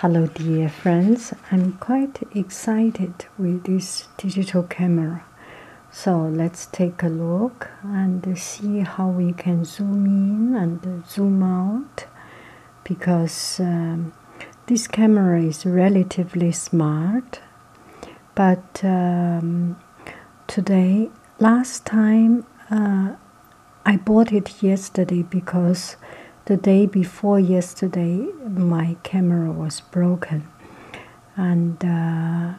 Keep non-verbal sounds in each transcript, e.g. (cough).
Hello, dear friends. I'm quite excited with this digital camera. So let's take a look and see how we can zoom in and zoom out because um, this camera is relatively smart. But um, today, last time, uh, I bought it yesterday because the day before yesterday my camera was broken, and uh,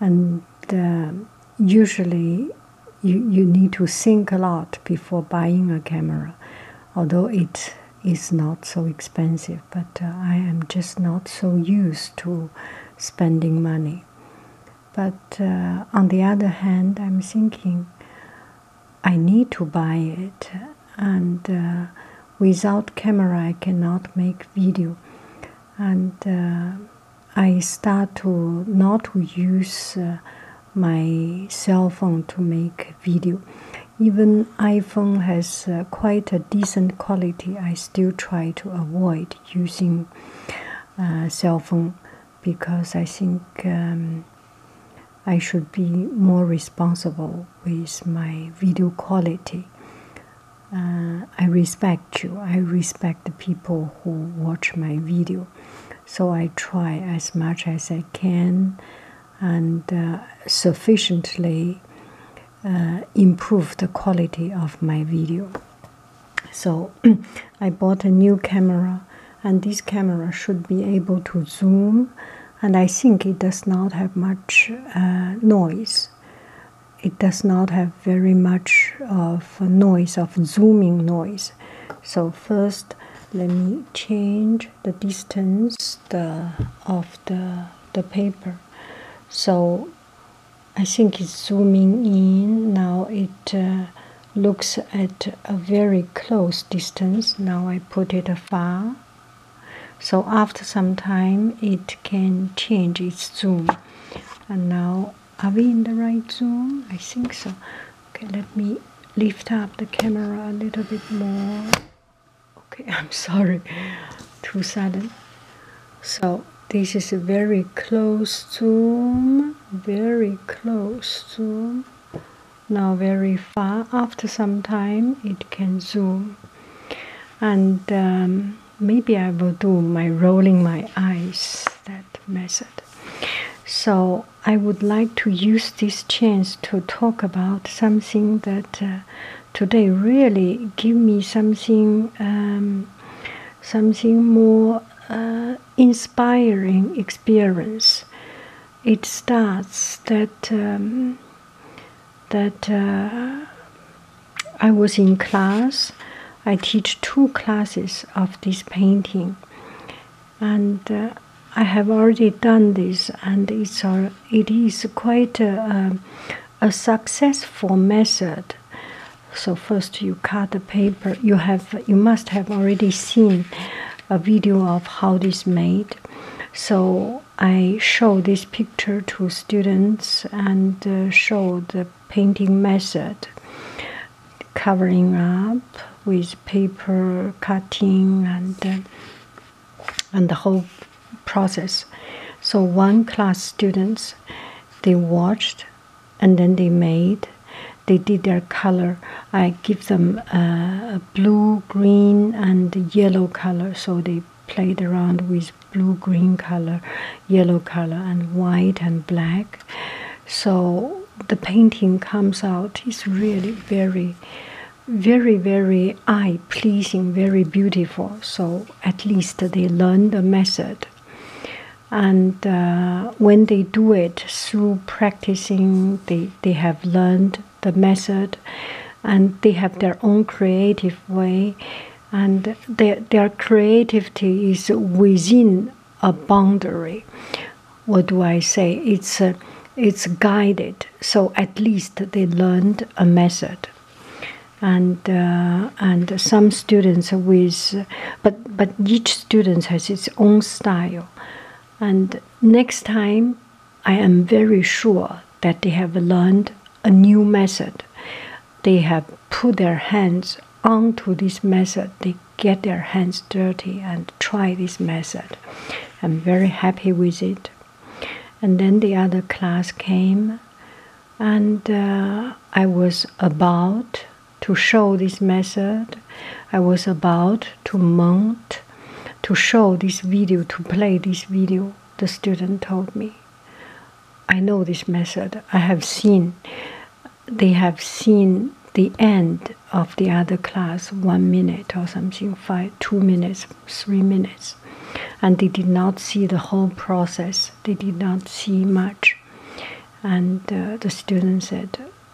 and uh, usually you you need to think a lot before buying a camera, although it is not so expensive. But uh, I am just not so used to spending money. But uh, on the other hand, I'm thinking I need to buy it, and uh, without camera, I cannot make video. And uh, I start to not to use my cell phone to make video. Even iPhone has quite a decent quality. I still try to avoid using cell phone because I think um, I should be more responsible with my video quality. Uh, I respect you. I respect the people who watch my video. So I try as much as I can and uh, sufficiently uh, improve the quality of my video. So (clears throat) I bought a new camera, and this camera should be able to zoom. And I think it does not have much uh, noise. It does not have very much of noise of zooming noise. So first, let me change the distance of the the paper. So I think it's zooming in now. It uh, looks at a very close distance. Now I put it far. So after some time, it can change its zoom. And now, are we in the right zoom? I think so. Okay, let me lift up the camera a little bit more. Okay, (laughs) I'm sorry, too sudden. So this is a very close zoom very close zoom now very far after some time it can zoom and um, maybe I will do my rolling my eyes that method so I would like to use this chance to talk about something that uh, today really give me something um, something more uh, inspiring experience. It starts that um, that uh, I was in class. I teach two classes of this painting, and uh, I have already done this, and it's it is quite a, a successful method so first you cut the paper you have you must have already seen a video of how this made so i show this picture to students and uh, show the painting method covering up with paper cutting and uh, and the whole process so one class students they watched and then they made they did their color. I give them uh, blue, green, and yellow color, so they played around with blue, green color, yellow color, and white and black. So the painting comes out is really very, very, very eye pleasing, very beautiful. So at least they learned the method and uh, when they do it through practicing they, they have learned the method and they have their own creative way and their, their creativity is within a boundary what do i say it's uh, it's guided so at least they learned a method and uh, and some students with but but each student has his own style and next time i am very sure that they have learned a new method they have put their hands onto this method they get their hands dirty and try this method i'm very happy with it and then the other class came and uh, i was about to show this method. I was about to mount to show this video, to play this video. The student told me, I know this method. I have seen, they have seen the end of the other class, one minute or something, five, two minutes, three minutes. And they did not see the whole process. They did not see much. And uh, the student said,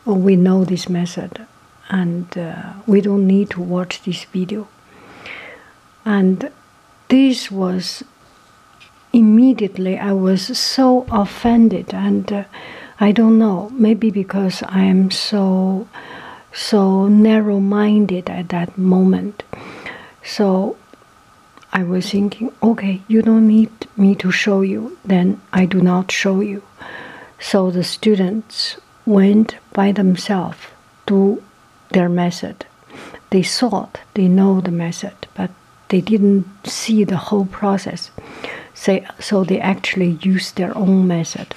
"Oh, we know this method, and uh, we don't need to watch this video." And this was immediately I was so offended, and uh, I don't know, maybe because I am so so narrow-minded at that moment. So I was thinking, okay, you don't need me to show you, then I do not show you. So the students went by themselves to their method. They thought they know the method, but they didn't see the whole process. so they actually use their own method.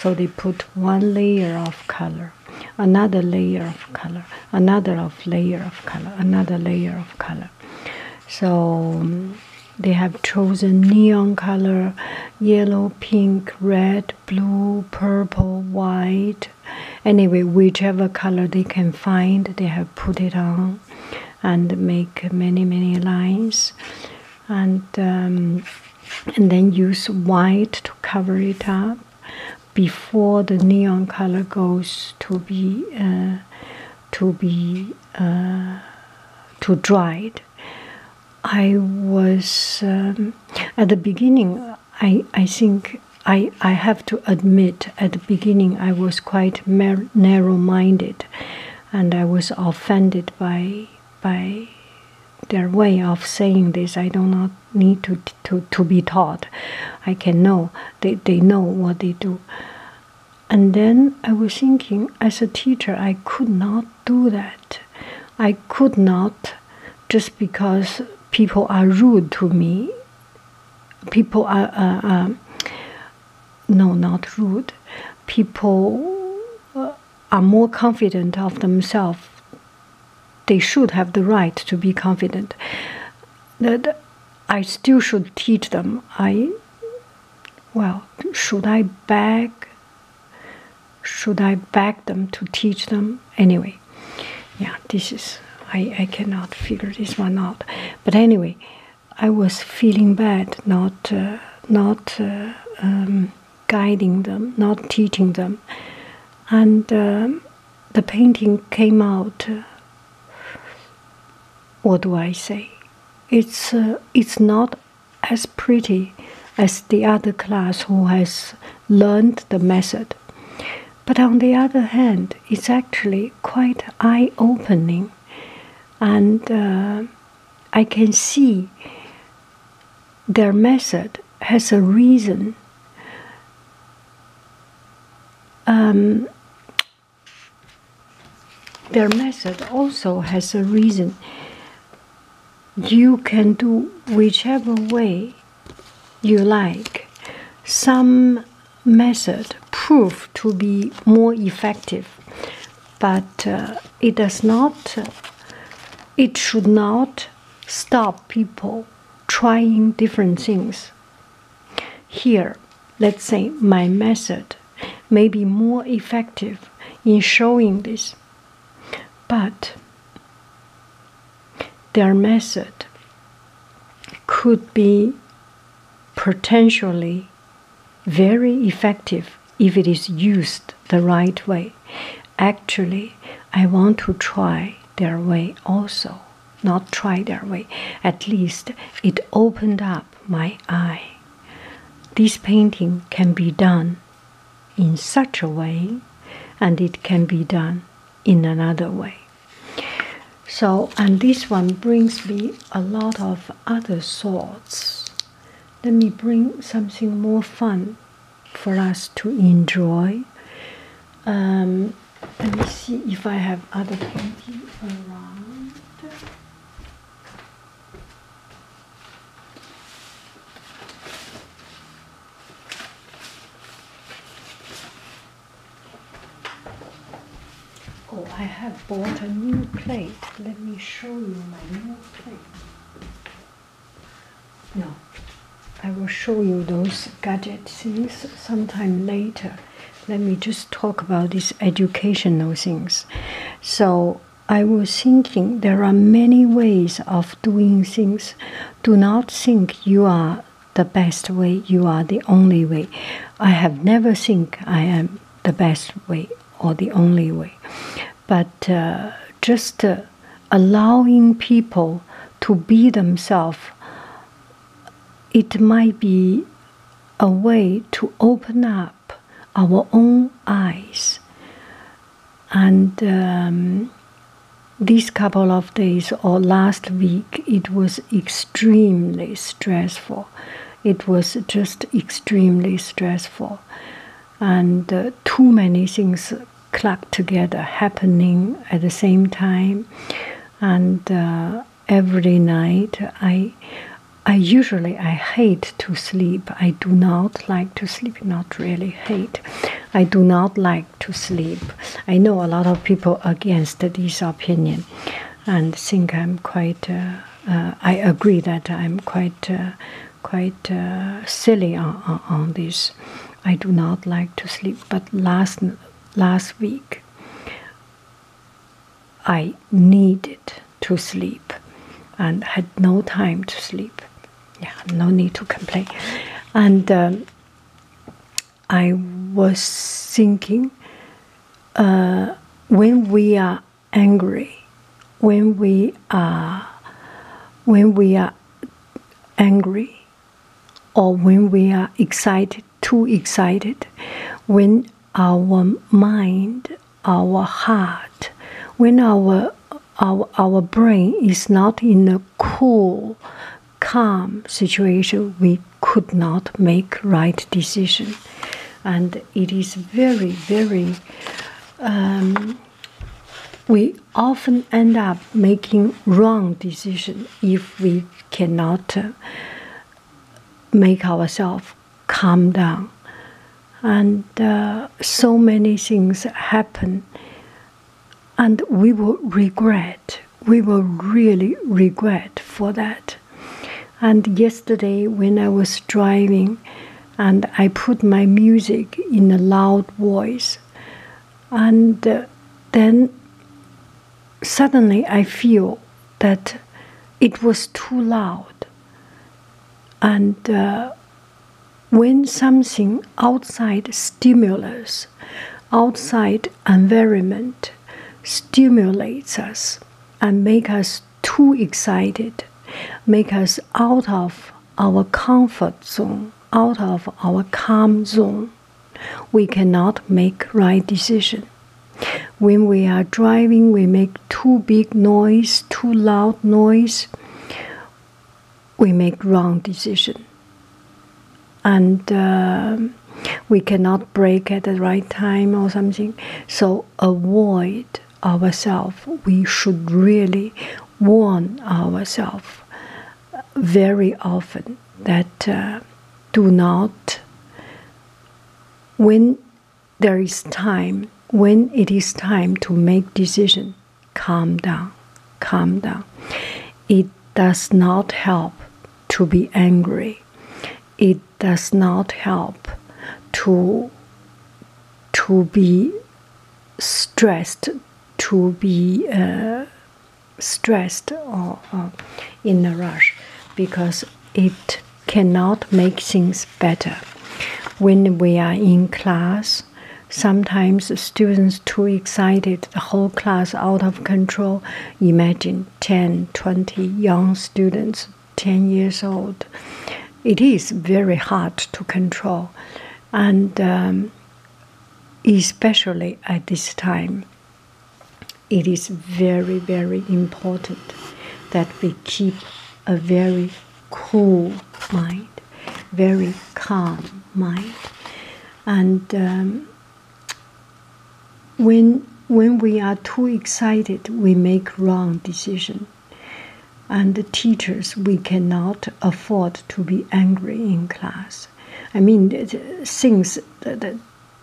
So they put one layer of color, another layer of color, another of layer of color, another layer of color. So um, they have chosen neon color yellow, pink, red, blue, purple, white. Anyway, whichever color they can find, they have put it on and make many, many lines. And, um, and then use white to cover it up before the neon color goes to be uh, to be uh, to dried. I was um, at the beginning. I I think I I have to admit at the beginning I was quite narrow-minded, and I was offended by by their way of saying this. I do not need to to to be taught. I can know they, they know what they do. And then I was thinking, as a teacher, I could not do that. I could not, just because people are rude to me, people are, no, not rude, people uh, are more confident of themselves. They should have the right to be confident. The, I still should teach them. I, well, should I beg? Should I beg them to teach them? Anyway, yeah, this is, I, I cannot figure this one out. But anyway, I was feeling bad not, uh, not uh, um, guiding them, not teaching them. And um, the painting came out. What do I say? It's uh, it's not as pretty as the other class who has learned the method, but on the other hand, it's actually quite eye-opening, and uh, I can see their method has a reason. Um, their method also has a reason. You can do whichever way you like. Some method proved to be more effective, but uh, it does not, it should not stop people trying different things. Here, let's say my method may be more effective in showing this, but their method could be potentially very effective if it is used the right way. Actually, I want to try their way also not try that way. At least it opened up my eye. This painting can be done in such a way, and it can be done in another way. So, and this one brings me a lot of other thoughts. Let me bring something more fun for us to enjoy. Um, let me see if I have other painting around. Oh, I have bought a new plate. Let me show you my new plate. No, I will show you those gadget things sometime later let me just talk about these educational things. So I was thinking there are many ways of doing things. Do not think you are the best way, you are the only way. I have never think I am the best way or the only way. But uh, just uh, allowing people to be themselves it might be a way to open up our own eyes. And um, these couple of days or last week, it was extremely stressful. It was just extremely stressful. And uh, too many things clucked together happening at the same time and uh, every night I I usually I hate to sleep. I do not like to sleep. Not really hate. I do not like to sleep. I know a lot of people against this opinion, and think I'm quite. Uh, uh, I agree that I'm quite quite silly on, on, on this. I do not like to sleep. But last last week, I needed to sleep and had no time to sleep. no need to complain. And um, I was thinking uh, when we are angry, when we are when we are angry or when we are excited too excited, when our mind, our heart, when our our, our brain is not in a cool, calm situation, we could not make right decision. And it is very, very um, we often end up making wrong decision if we cannot make ourselves calm down. And uh, so many things happen, and we will regret. We will really regret for that. And yesterday, when I was driving, and I put my music in a loud voice, and uh, then suddenly I feel that it was too loud. And uh, when something outside stimulus, outside environment stimulates us and make us too excited, make us out of our comfort zone, out of our calm zone, we cannot make right decision. When we are driving, we make too big noise, too loud noise. We make wrong decision, and uh, we cannot brake at the right time or something. So avoid ourselves. We should really warn ourselves very often that uh, do not, when there is time, when it is time to make decision, calm down, calm down. It does not help to be angry. It does not help to to be stressed, to be uh, stressed or, in a rush because it cannot make things better. When we are in class, sometimes students too excited, the whole class out of control. Imagine 10, 20 young students, 10 years old. It is very hard to control, and um, especially at this time it is very, very important that we keep a very cool mind, very calm mind. And um, when when we are too excited, we make wrong decision. And the teachers, we cannot afford to be angry in class. I mean, things that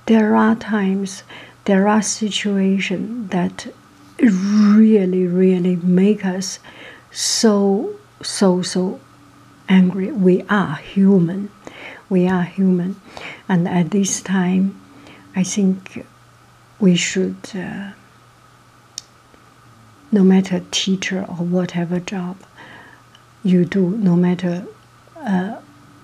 there are times, there are situations that really, really make us so, so, so angry. We are human. We are human. And at this time, I think we should, uh, no matter teacher or whatever job, you do, no matter uh,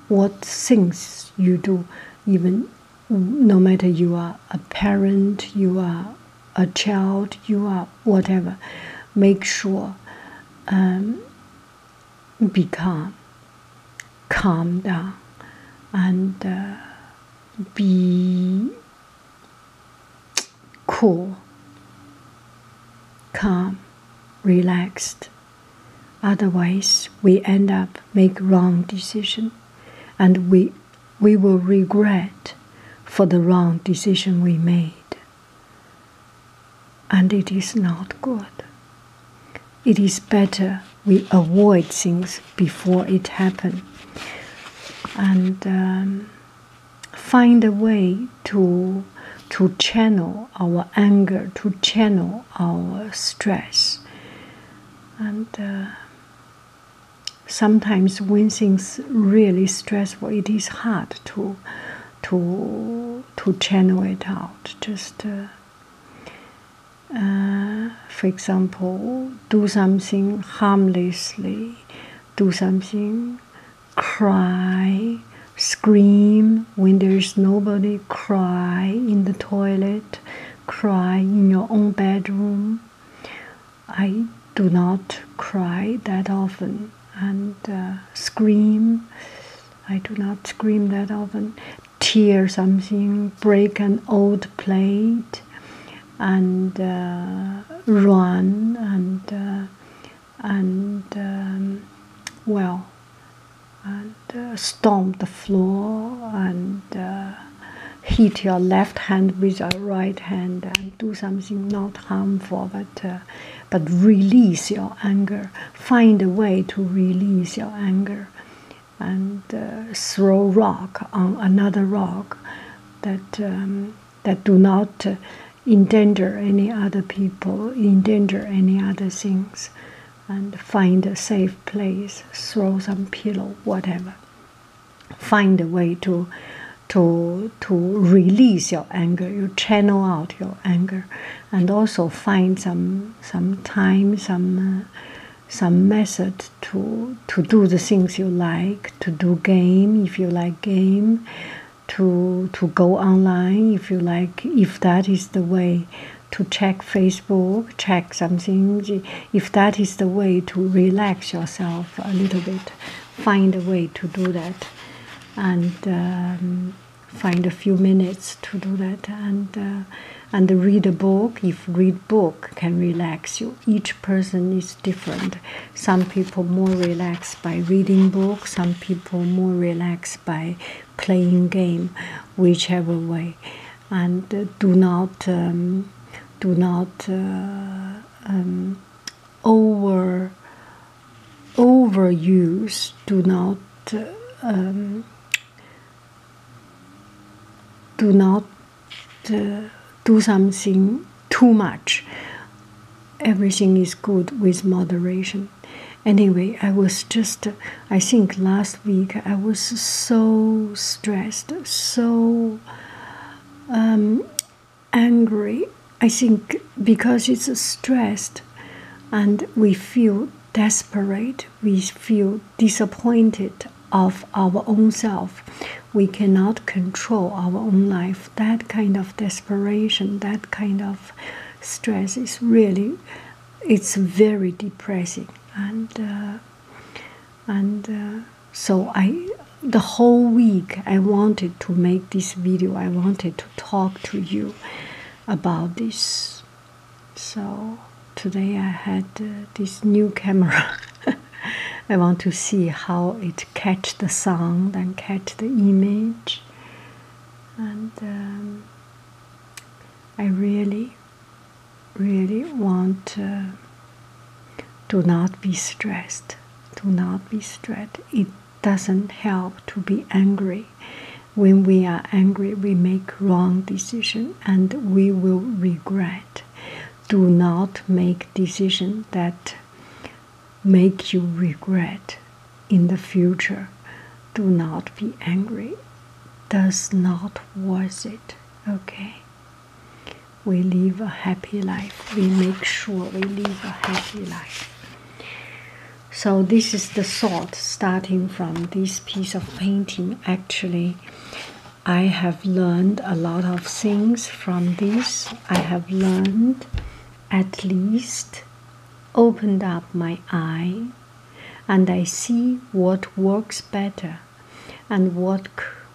what things you do, even no matter you are a parent, you are a child, you are whatever, make sure um, be calm, calm down, and uh, be cool, calm, relaxed. Otherwise, we end up make wrong decision, and we we will regret for the wrong decision we made. And it is not good. It is better we avoid things before it happen. And um, find a way to to channel our anger, to channel our stress, and uh, sometimes when things really stressful, it is hard to to to channel it out. Just. Uh, uh, for example, do something harmlessly, do something cry, scream when there's nobody, cry in the toilet, cry in your own bedroom. I do not cry that often and uh, scream. I do not scream that often. Tear something, break an old plate, and uh, run and uh, and um, well and uh, storm the floor and uh, hit your left hand with your right hand and do something not harmful but uh, but release your anger find a way to release your anger and uh, throw rock on another rock that um, that do not endanger any other people, endanger any other things, and find a safe place, throw some pillow, whatever. Find a way to to to release your anger, you channel out your anger, and also find some some time, some uh, some method to to do the things you like, to do game if you like game, to to go online if you like if that is the way to check facebook check something if that is the way to relax yourself a little bit find a way to do that and um, find a few minutes to do that and uh, and read a book if read book can relax you each person is different. Some people more relaxed by reading books, some people more relaxed by playing game, whichever way, and uh, do not um, do not uh, um, over overuse. Do not. Uh, um, do not do something too much. Everything is good with moderation. Anyway, I was just, I think last week I was so stressed, so um, angry. I think because it's stressed and we feel desperate, we feel disappointed of our own self. We cannot control our own life that kind of desperation, that kind of stress is really, it's very depressing. And uh, and uh, so I, the whole week, I wanted to make this video. I wanted to talk to you about this. So today I had uh, this new camera. (laughs) I want to see how it catch the sound and catch the image. And um, I really, really want uh, to not be stressed. To not be stressed. It doesn't help to be angry. When we are angry, we make wrong decision and we will regret. Do not make decision that make you regret in the future. Do not be angry. Does not worth it. Okay. We live a happy life. We make sure we live a happy life. So this is the thought starting from this piece of painting. Actually, I have learned a lot of things from this. I have learned at least opened up my eye and I see what works better and what,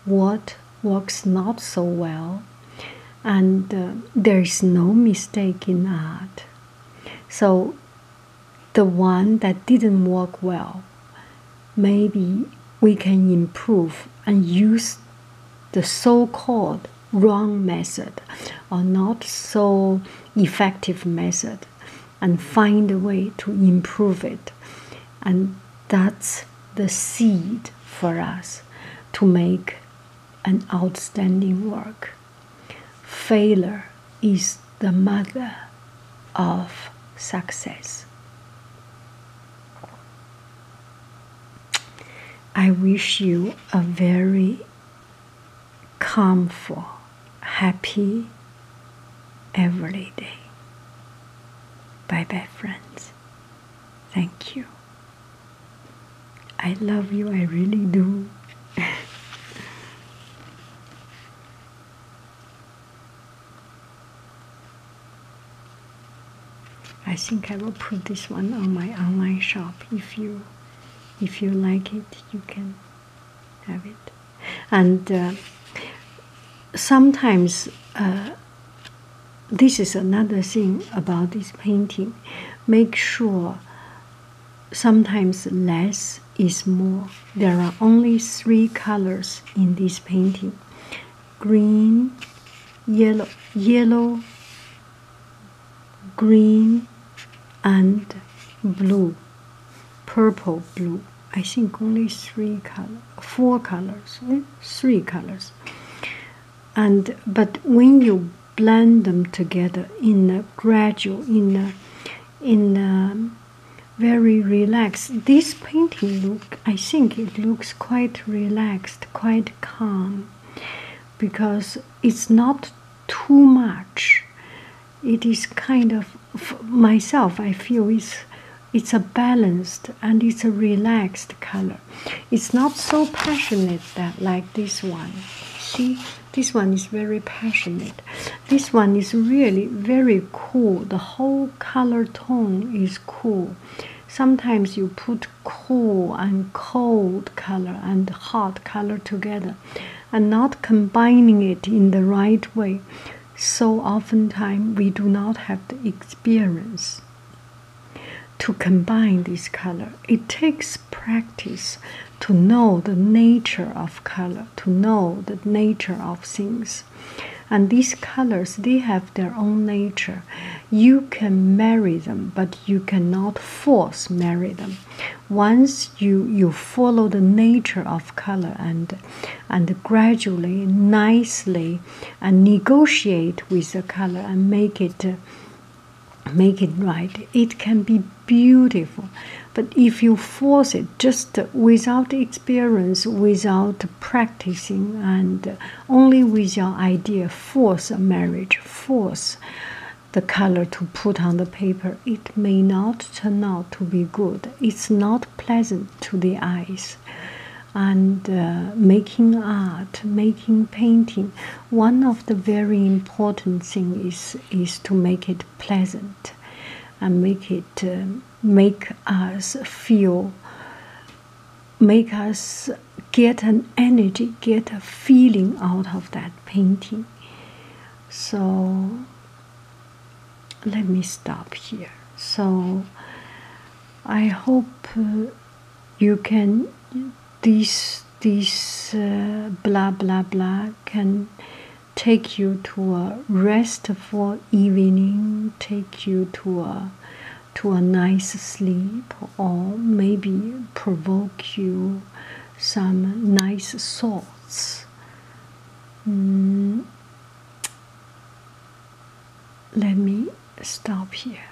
what works not so well. And uh, there is no mistake in that. So the one that didn't work well, maybe we can improve and use the so called wrong method or not so effective method and find a way to improve it. And that's the seed for us to make an outstanding work. Failure is the mother of success. I wish you a very comfortable, happy every day. Bye bye, friends. Thank you. I love you, I really do. (laughs) I think I will put this one on my online shop. If you if you like it, you can have it. And uh, sometimes uh, this is another thing about this painting. Make sure sometimes less is more. There are only three colors in this painting green, yellow, yellow, green, and blue, purple, blue. I think only three colors, four colors, eh? three colors. And but when you blend them together in a gradual, in a, in a very relaxed. This painting look, I think it looks quite relaxed, quite quite calm because it's not too much. It is kind of myself. I feel it's it's a balanced and it's a relaxed color. It's not so passionate that like this one. See, this one is very passionate. This one is really very cool. The whole color tone is cool. Sometimes you put cool and cold color and hot color together and not combining it in the right way so oftentimes we do not have the experience to combine these colors. it takes practice to know the nature of color to know the nature of things and these colors they have their own nature you can marry them, but you cannot force marry them. Once you you follow the nature of color and and gradually, nicely, and negotiate with the color and make it. make it right. It can be beautiful. But if you force it just without experience, without practicing and only with your idea force a marriage, force the color to put on the paper, it may not turn out to be good. It's not pleasant to the eyes. And uh, making art, making painting, one of the very important things is to make it pleasant, and make it uh, make us feel, make us get an energy, get a feeling out of that painting. So let me stop here. So I hope uh, you can this these uh, blah blah blah can take you to a restful evening, take you to a to a nice sleep or maybe provoke you some nice thoughts. Mm. Let me stop here.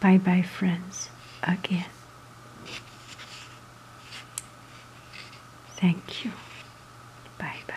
Bye bye, friends, again. Thank you. Bye bye.